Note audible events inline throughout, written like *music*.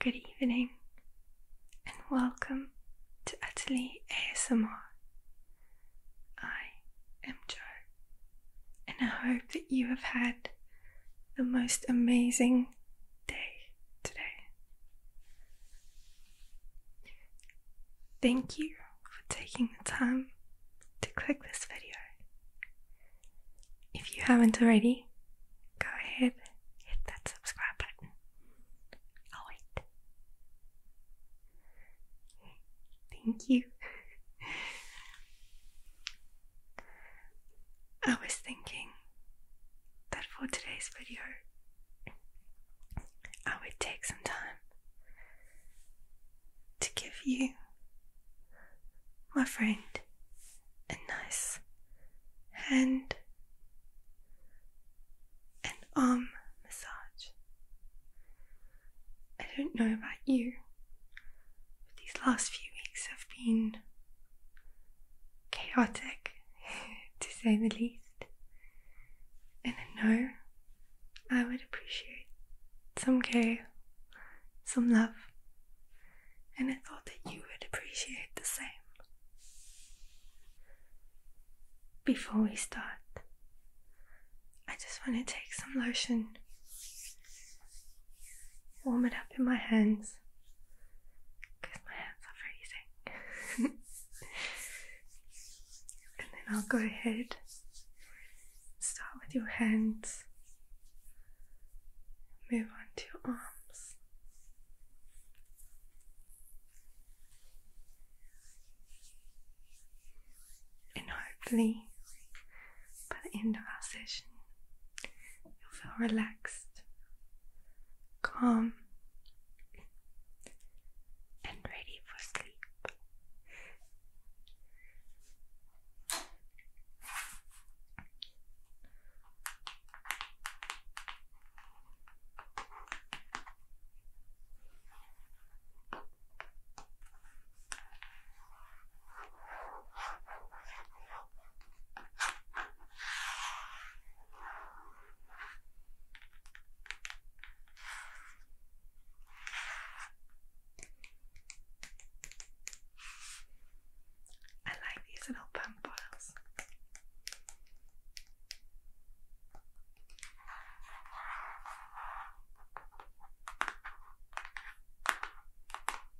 Good evening and welcome to Utterly ASMR. I am Joe and I hope that you have had the most amazing day today. Thank you for taking the time to click this video. If you haven't already, go ahead, hit that subscribe button. I'll wait. Thank you. *laughs* I was thinking that for today's video, I would take some time to give you, my friend, a nice hand and arm massage. I don't know about you, these last few weeks have been chaotic, *laughs* to say the least. And I know I would appreciate some care, some love, and I thought that you would appreciate the same. Before we start, I just want to take some lotion warm it up in my hands because my hands are freezing. *laughs* and then I'll go ahead, start with your hands, move on to your arms. And hopefully, by the end of our session, you'll feel relaxed, calm, and ready for sleep. I like these little pump bottles.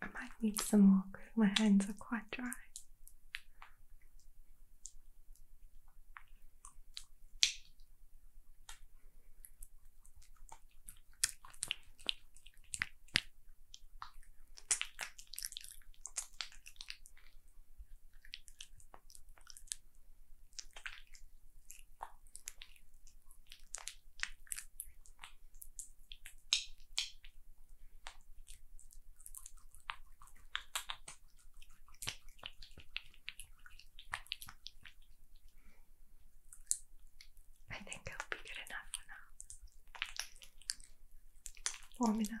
I might need some more because my hands are quite dry. I think i will be good enough for now. Warm enough.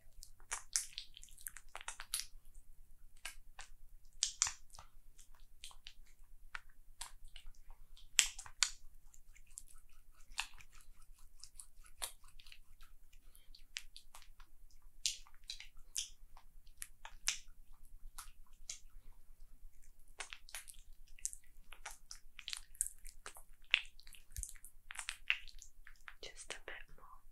Just a bit more.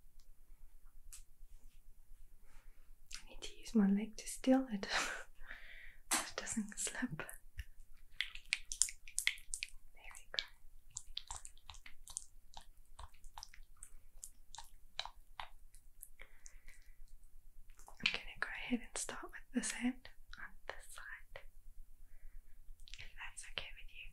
I need to use my leg to steal it it *laughs* doesn't slip. I'm gonna go ahead and start with this end on this side that's okay with you.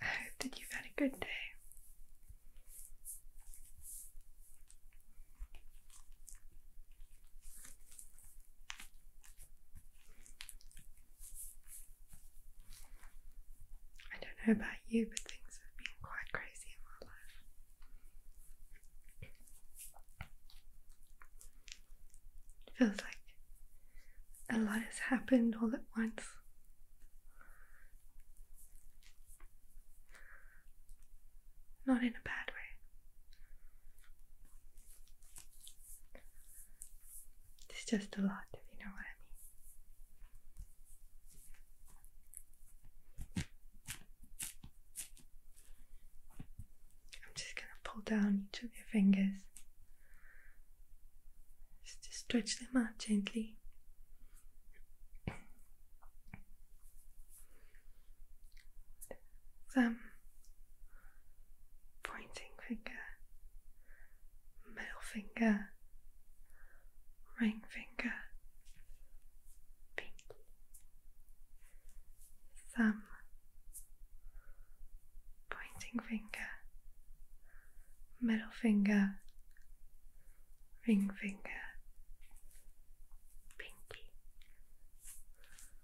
I hope that you had a good day. I don't know about you, but things have been quite crazy in my life. It feels like a lot has happened all at once. Not in a bad way. It's just a lot, if you know what I mean. I'm just gonna pull down each of your fingers. Just to stretch them out gently thumb, pointing finger, middle finger, ring finger, pinky, thumb, pointing finger, middle finger, ring finger, pinky.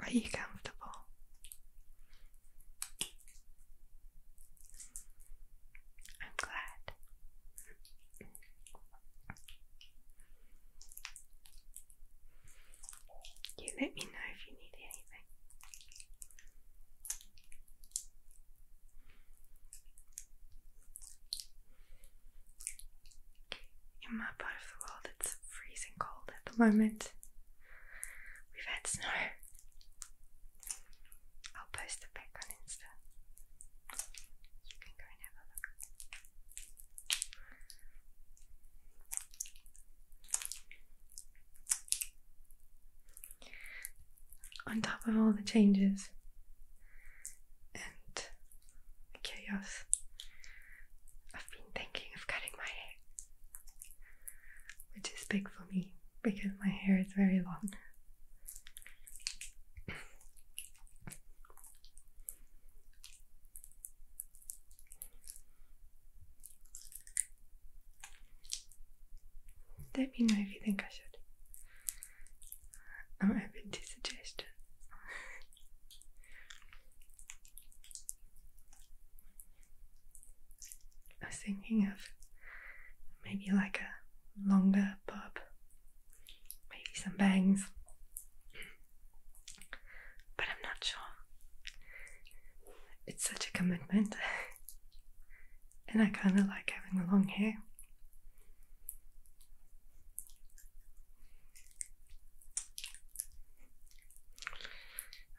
Are you comfortable? I'm glad. You let me know if you need anything. In my part of the world, it's freezing cold at the moment. We've had snow. I'll post it back on Insta. You can go and have a look on top of all the changes and chaos, I've been thinking of cutting my hair, which is big for me because my hair is very long. Let me know if you think I should. I'm open to suggestions. I was thinking of maybe like a longer bob, maybe some bangs, but I'm not sure. It's such a commitment. *laughs* and I kind of like having the long hair.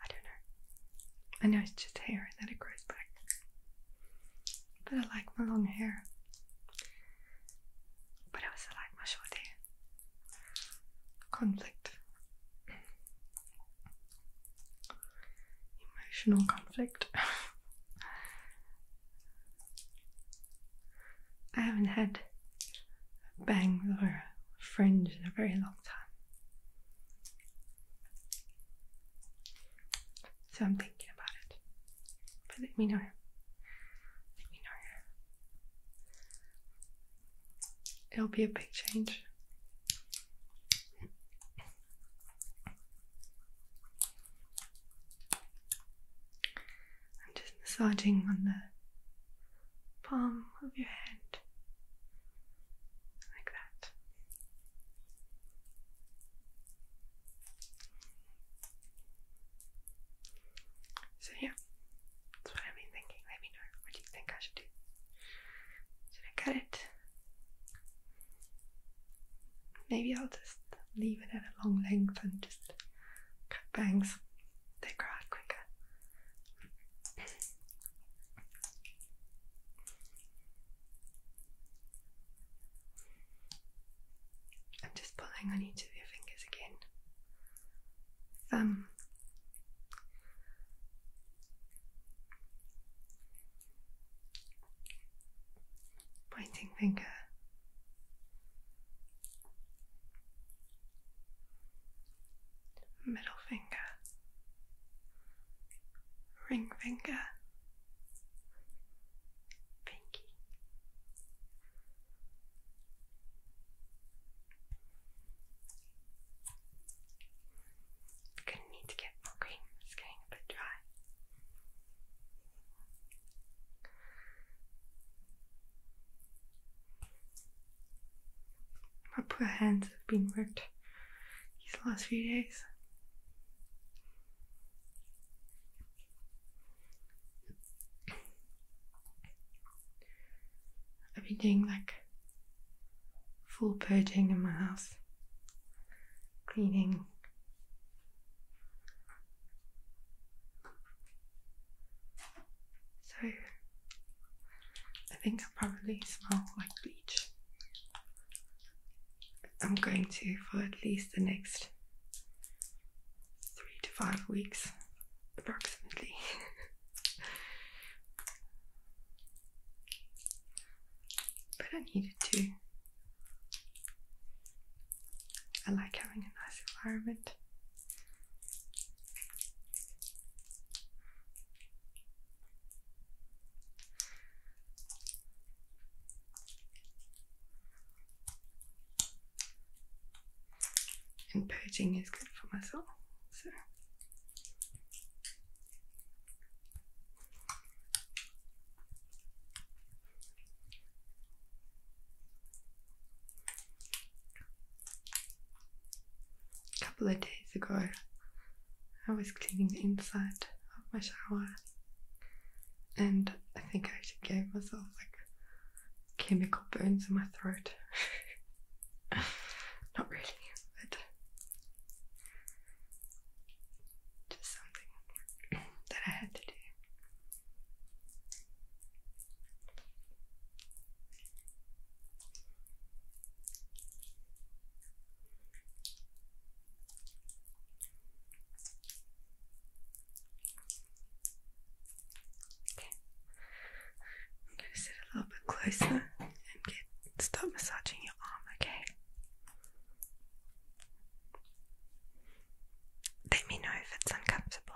I don't know. I know it's just hair and that it grows back. But I like my long hair. But I also like my short hair. Conflict. Emotional conflict. *laughs* I haven't had a bang with a in a very long time. So I'm thinking about it. But let me know. Let me know. It'll be a big change. I'm just massaging on the palm of your hand like that. So, yeah, that's what I've been thinking. Let me know what you think I should do. Should I cut it? Maybe I'll just leave it at a long length and just cut bangs. They grow out quicker. I'm just pulling on each of your fingers again. Thumb pointing finger. Middle finger, ring finger, pinky. Gonna need to get more cream. It's getting a bit dry. My poor hands have been worked these last few days. I've been doing like full purging in my house, cleaning. So I think I probably smell like bleach. I'm going to for at least the next three to five weeks, approximately. *laughs* but I needed to. I like having a nice environment. And purging is good for my soul, so a couple of days ago, I was cleaning inside of my shower and I think I actually gave myself like chemical burns in my throat. *laughs* Not really, but just something that I had to do. Okay. I'm going to sit a little bit closer and get stop massaging your arm, okay? Let me know if it's uncomfortable.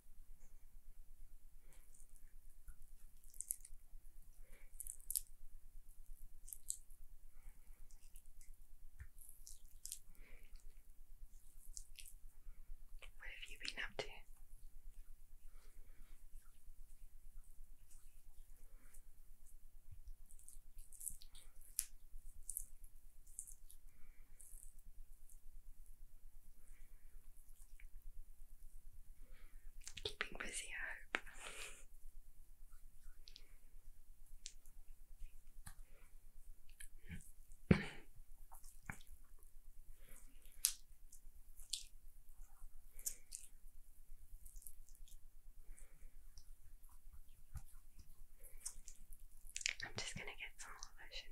What have you been up to? Keeping busy, I hope. I'm just going to get some more lotion.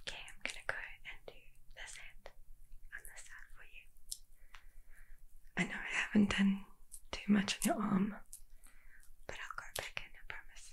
Okay, I'm gonna go and do this hand on this side for you. I know I haven't done too much on your arm, but I'll go back in, I promise.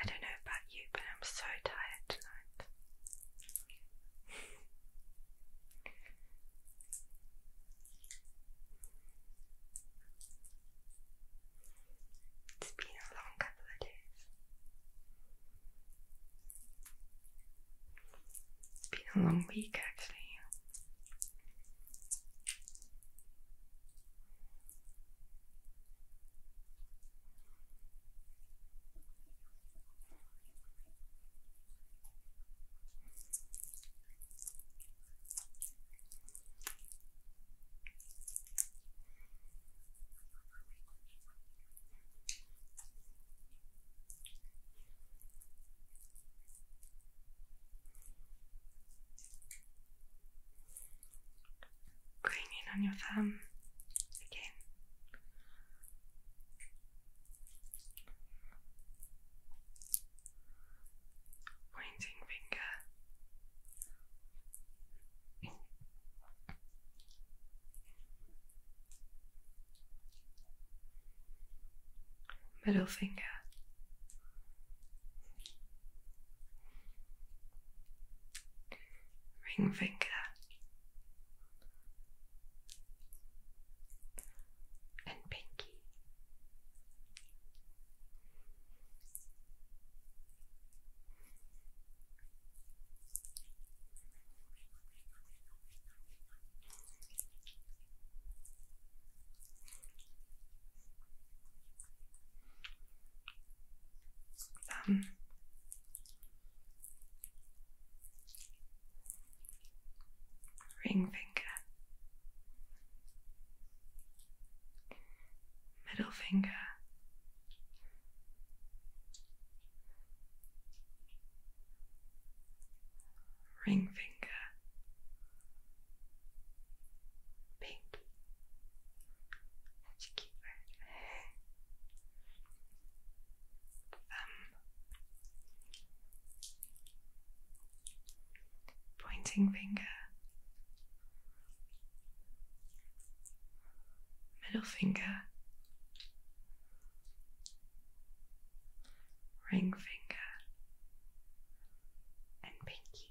I don't know about you, but I'm so tired tonight. It's been a long couple of days. It's been a long week actually. Bring in on your thumb again. Pointing finger middle finger. Ring finger, and pinky ring finger, middle finger, ring finger, pink, such a cute word, thumb, pointing finger, middle finger ring finger, and pinky.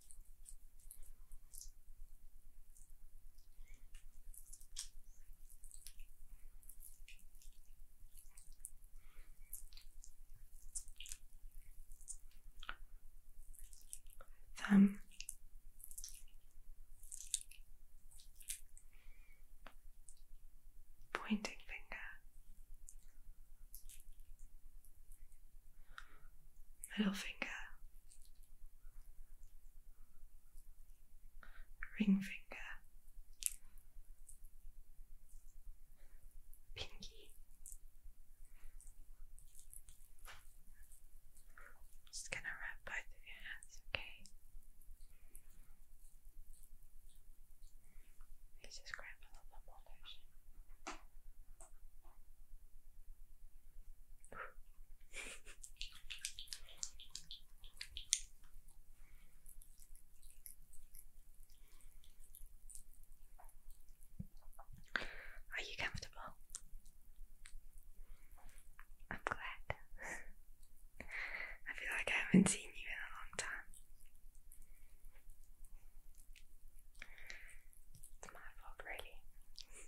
thumb pointing finger middle finger ring finger, pinky, just gonna wrap both of your hands, okay? Let's just grab a little bit more lotion. Are you comfortable? I'm glad. I feel like I haven't seen you in a long time. It's my fault, really.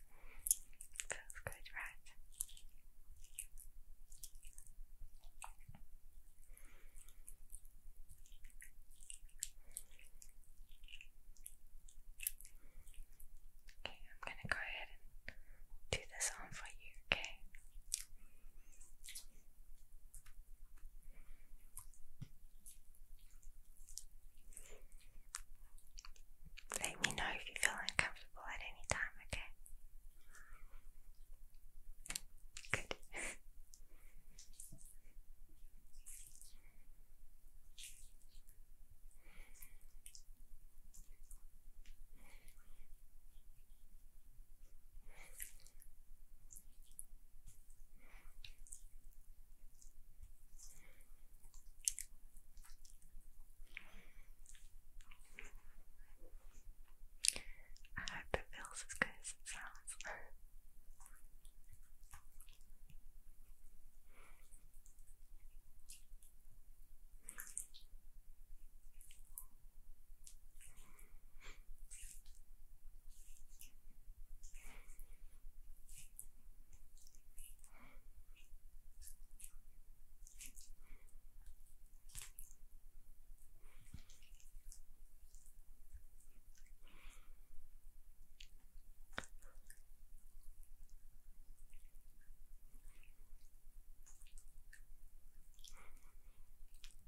Feels good, right? Okay, I'm gonna go ahead and do this on for you, Okay, let me know if you feel uncomfortable at any time, okay? Good. I hope it feels as good as it sounds.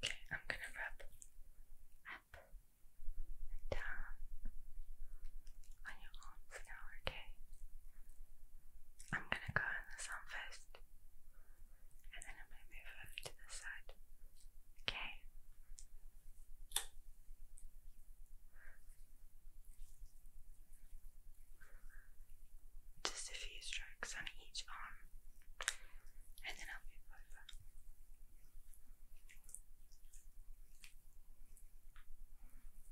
Okay, I'm going to rub up and down on your arm okay? I'm gonna go on the sun first, and then I'm gonna move over to the side, okay? Just a few strokes on each arm, and then I'll move over.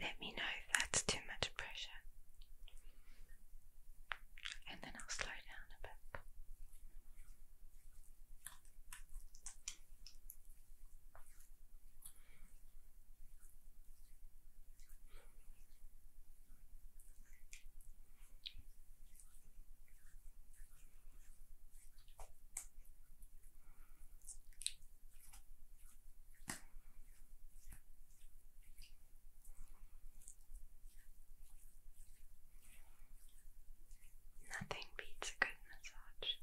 Let me know if that's too much pressure, and then I'll slow down a bit. Nothing beats a good massage.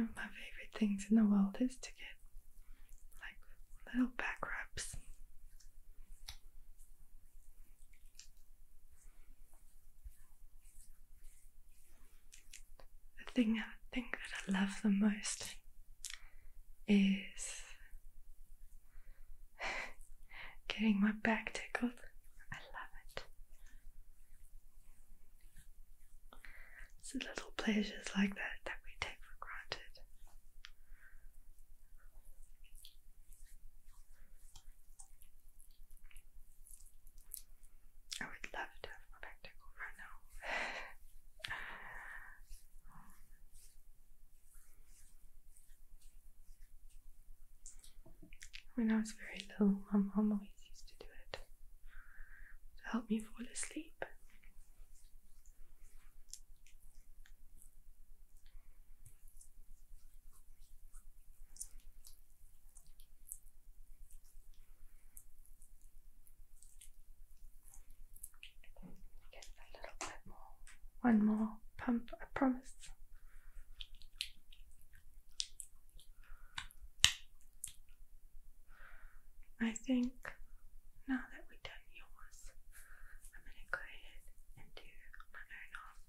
One of my favorite things in the world is to get like little back rubs. The thing I think that I love the most is *laughs* getting my back tickled. I love it. It's the little pleasures like that that we take for granted. I would love to have my spectacle right now. *laughs* when I was very little, my mom always used to do it to help me fall asleep. Get a little bit more. One more pump, I promise. I think now that we've done yours, I'm gonna go ahead and do my own arm.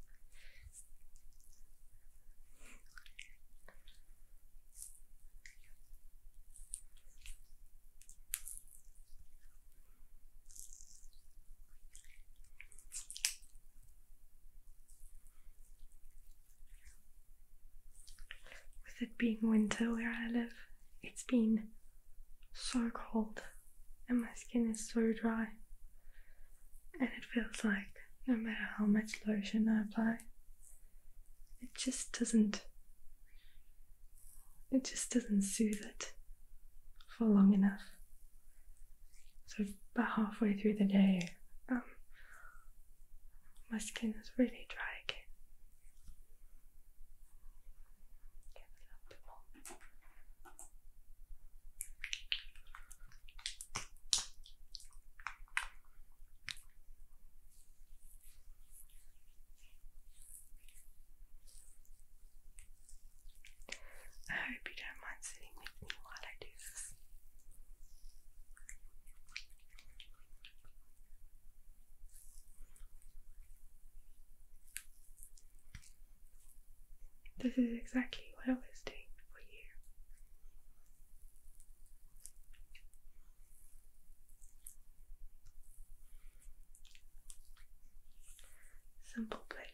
With it being winter where I live, it's been so cold and my skin is so dry. And it feels like no matter how much lotion I apply, it just doesn't it just doesn't soothe it for long enough. So about halfway through the day, um, my skin is really dry again, Get I hope you don't mind sitting with me while I do this. This is exactly what I was doing for you. Simple pleasures.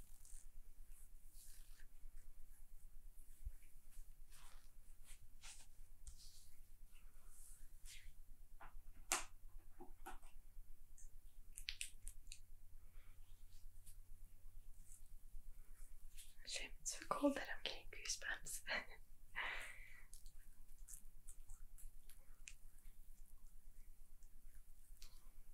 Shame it's so cold that I'm getting goosebumps.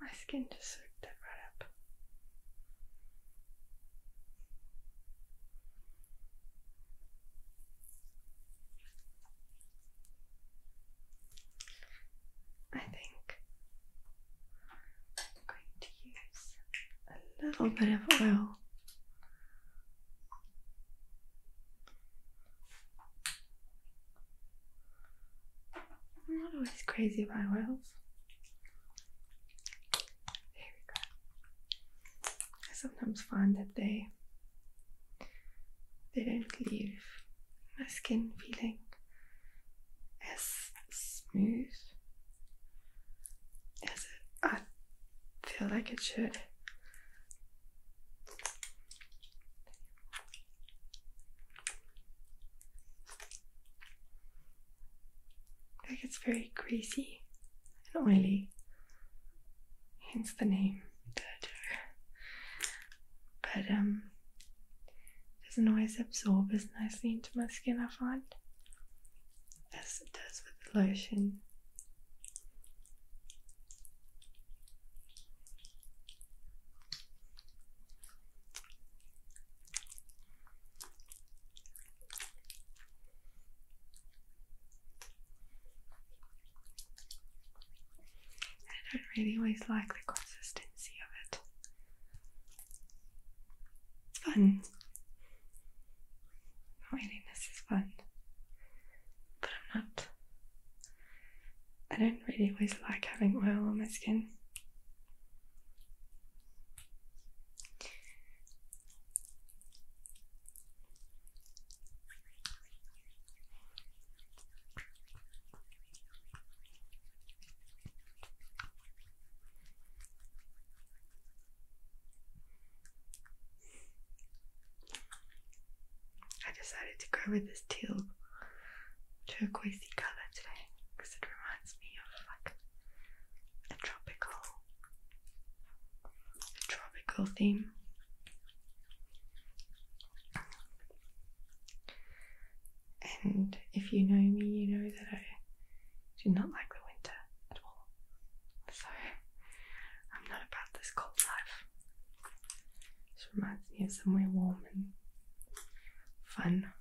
My skin just soaked that right up. I think I'm going to use a little bit of oil I'm not always crazy about oils. I sometimes find that they they don't leave my skin feeling as smooth is it? I feel like it should. Like it's very greasy and oily, hence the name But um, it doesn't always absorb as nicely into my skin. I find as it does with the lotion. I don't really always like the consistency of it. It's fun. Loneliness is fun, but I'm not. I don't really always like having oil on my skin. I decided to go with this teal turquoisey colour today because it reminds me of like a tropical a tropical theme. And if you know me, you know that I do not like the winter at all. So I'm not about this cold life. This reminds me of somewhere warm and fun.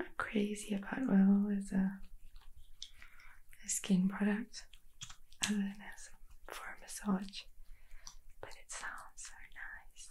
Not crazy about oil as a, skin product, other than as for a massage, but it sounds so nice.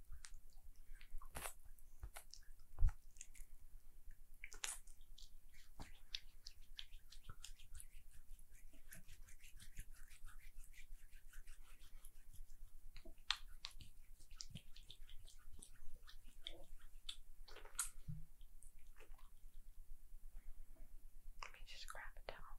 Let me just grab a towel.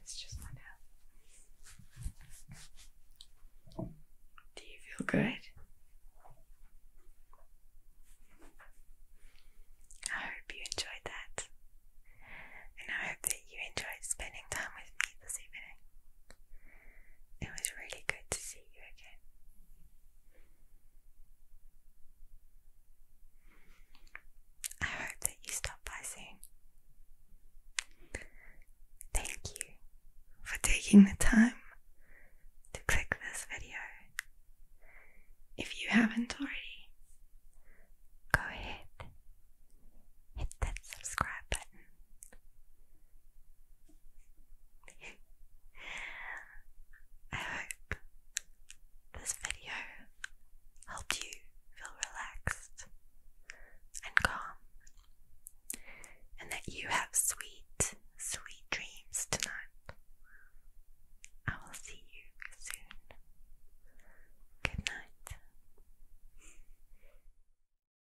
It's just my dad. Do you feel good? I hope you enjoyed that. And I hope that you enjoyed spending time with me this evening. It was really good to see you again. I hope that you stop by soon. Thank you for taking the time to click this video. If you haven't already, go ahead, hit that subscribe button *laughs* I hope this video helped you feel relaxed and calm, and that you have sweet, sweet dreams tonight. I will see you soon. Good night.